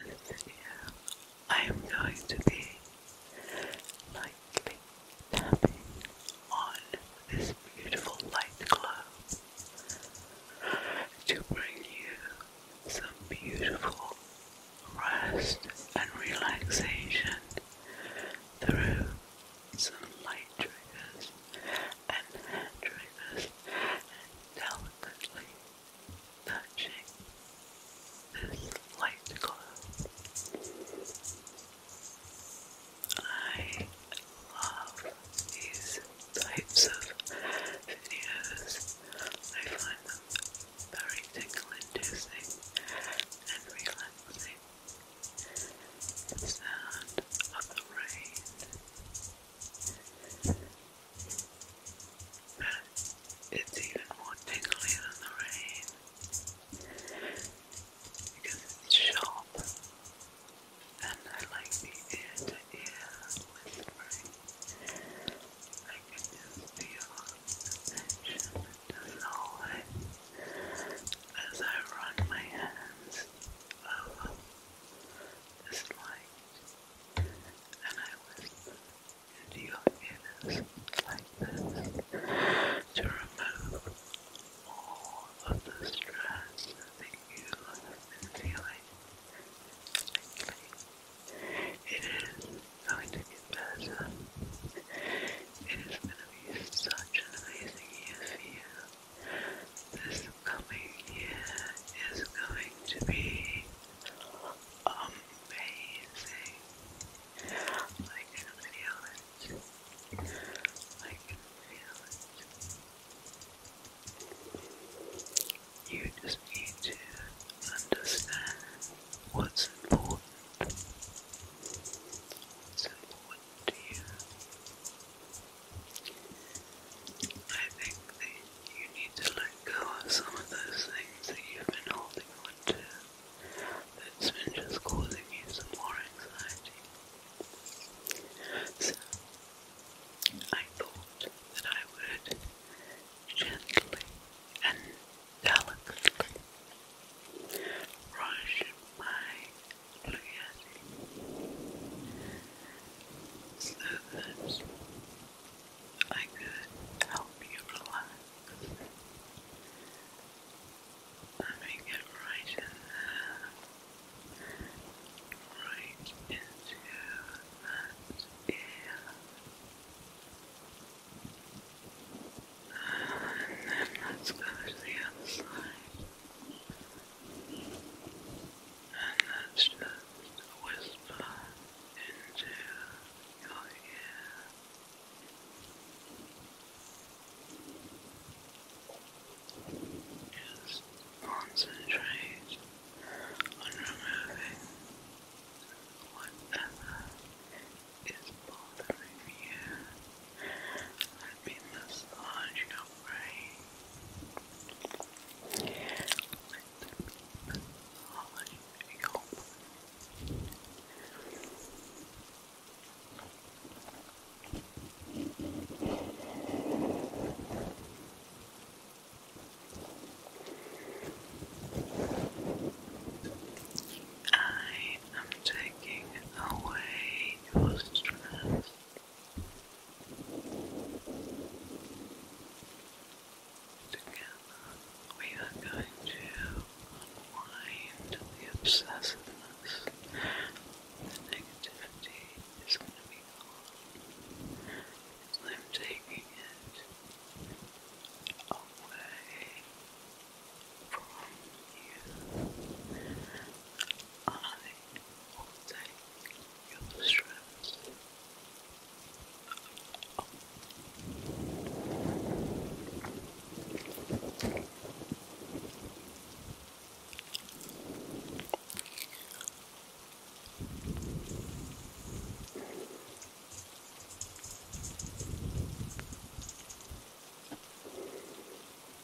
In this video, I am going to be like tapping on this beautiful light glow to bring you some beautiful rest and relaxation through some light triggers and triggers and delicately touching this light glow. I love these types of videos. I find them very tingle inducing and relaxing. The sound of the rain it's even more tingly than the rain because it's sharp and I like the ear to ear whispering. I can feel the tension dissolving as I run my hands over this light and I whispered into your ears like this to remove all of the stress that you have feeling. It is going to get better. It is going to be such an amazing year for you. This coming year going to be amazing. I can feel it. You just need to understand what's important. What's important to you? I think that you need to let go of some of those things that you've been holding on to that's been just causing you some more anxiety. So, I thought that I would gently and delicately brush my blue so that I could help you relax. Let me get right in right into that ear. And then let's go to the other side. And that's just whisper into your ear. Just concentrate on removing whatever is bothering you. Let me massage your brain. I am taking away your stress. Together, we are going to unwind the obsessiveness. The negativity is going to be gone. I'm taking it away from you. All your stress. Oh.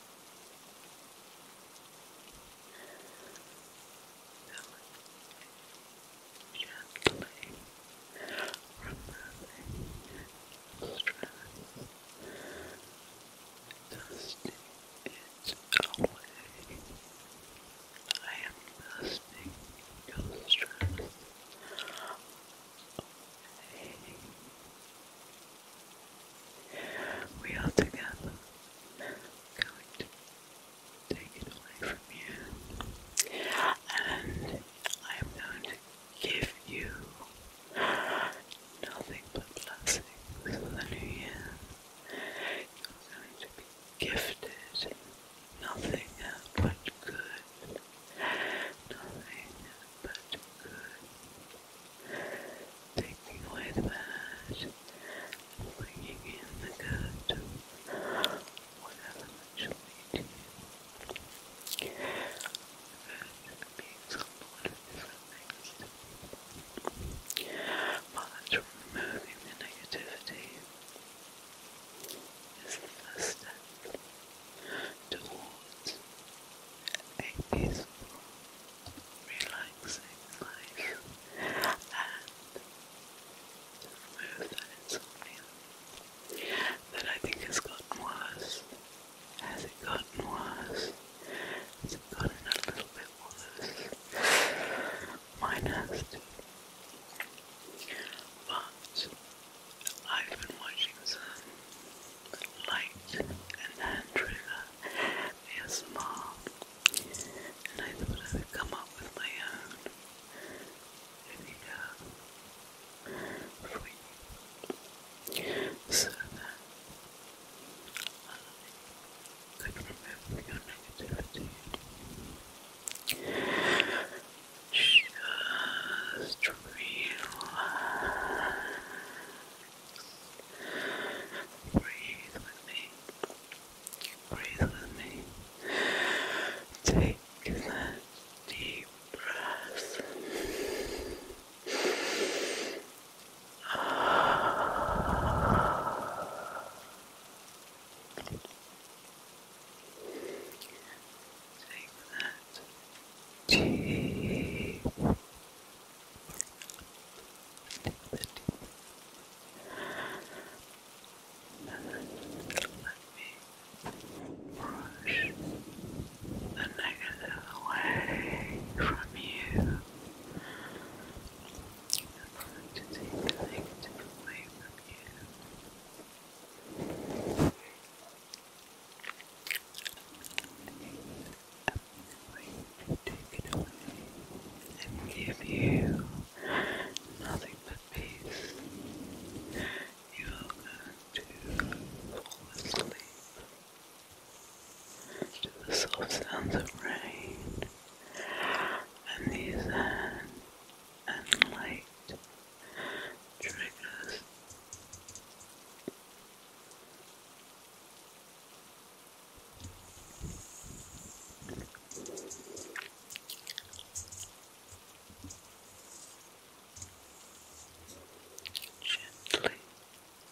Gently removing stress, dusting it away. I am dusting your away. We are together going to take it away from you, and I am going to give you nothing but blessings for the new year. You're going to be gifted nothing but good, nothing but good. Taking away the bad, bringing in the good, whatever much lead to you. Good means a lot of But removing the negativity is the first step towards a peaceful, relaxing life and to remove that insomnia that I think has gotten worse. Has it gotten worse? Has gotten a little bit worse? Mine has I've been watching some light and hand trigger ASMR and I thought I would come up with my own. Here For you. So that uh, I could remove your negativity. Just relax. Breathe with me. Breathe with me. Take that deep breath. Take that cheek. the negative away from you. I'm going to take the negative away from you. I'm take it away and give you nothing but peace. You are going to fall asleep to the soft sounds of rain and these hands and light triggers. Gently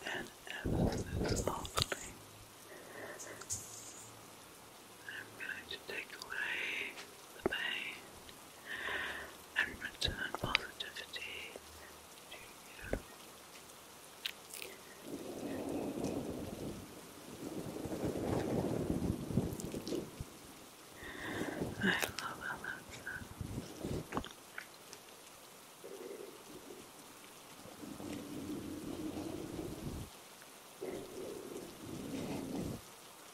and ever so softly, I'm going to take away the pain and return positivity you. I love how I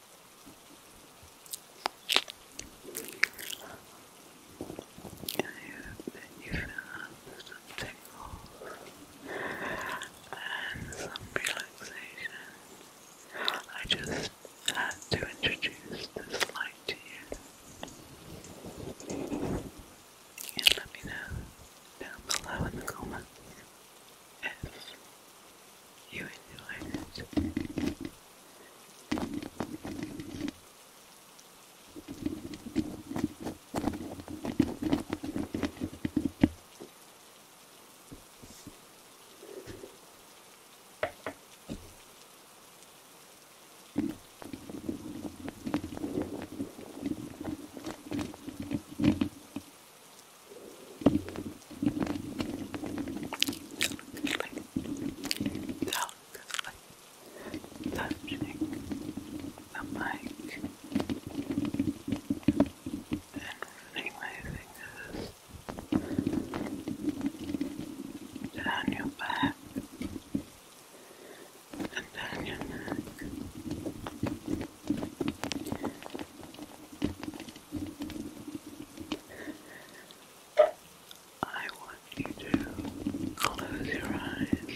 hope that you some tingles and some relaxation. I just had to introduce this light to you. And let me know down below in the comments if you enjoy this. Delicately touching the mic and running my fingers down your back and down your neck. I want you to close your eyes and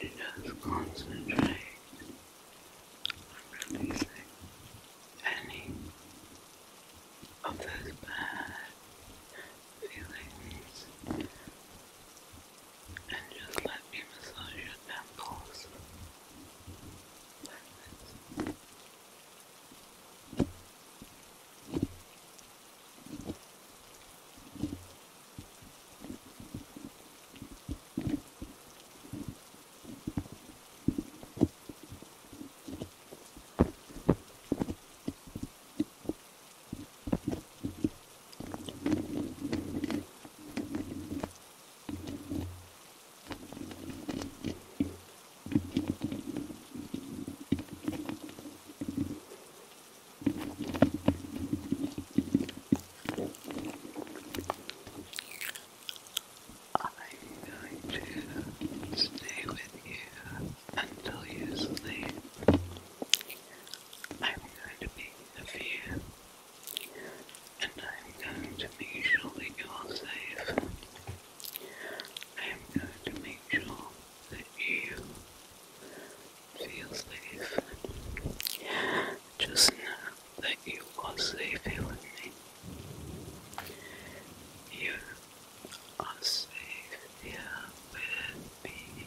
just concentrate on releasing any of those bad feelings and just let me massage your temples like this. Good. I'm to stay with you until you sleep. I'm going to be the fear, and I'm going to make sure that you're safe. I'm going to make sure that you feel safe. Just know that you are safe here with me. You are safe here with me.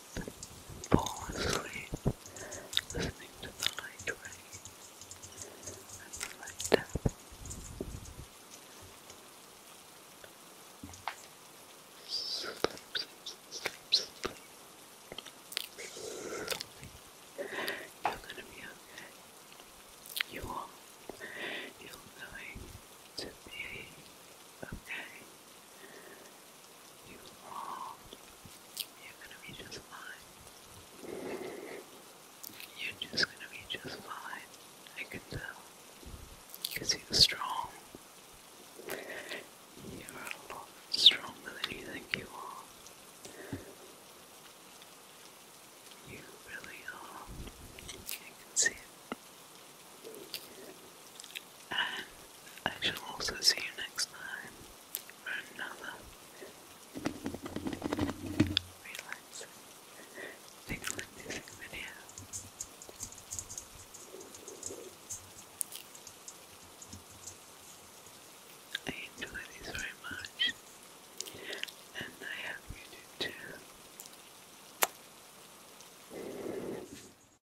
fall asleep listening to the light ring and the light You are. You're going to be you are you are going to be okay you long, you're gonna be just fine. You're just gonna be just fine. I can tell. you're strong. You're a lot stronger than you think you are. You really are. I can see it and I shall also see you next time for another relaxing, tingling video. I enjoy these very much, and I hope you do too.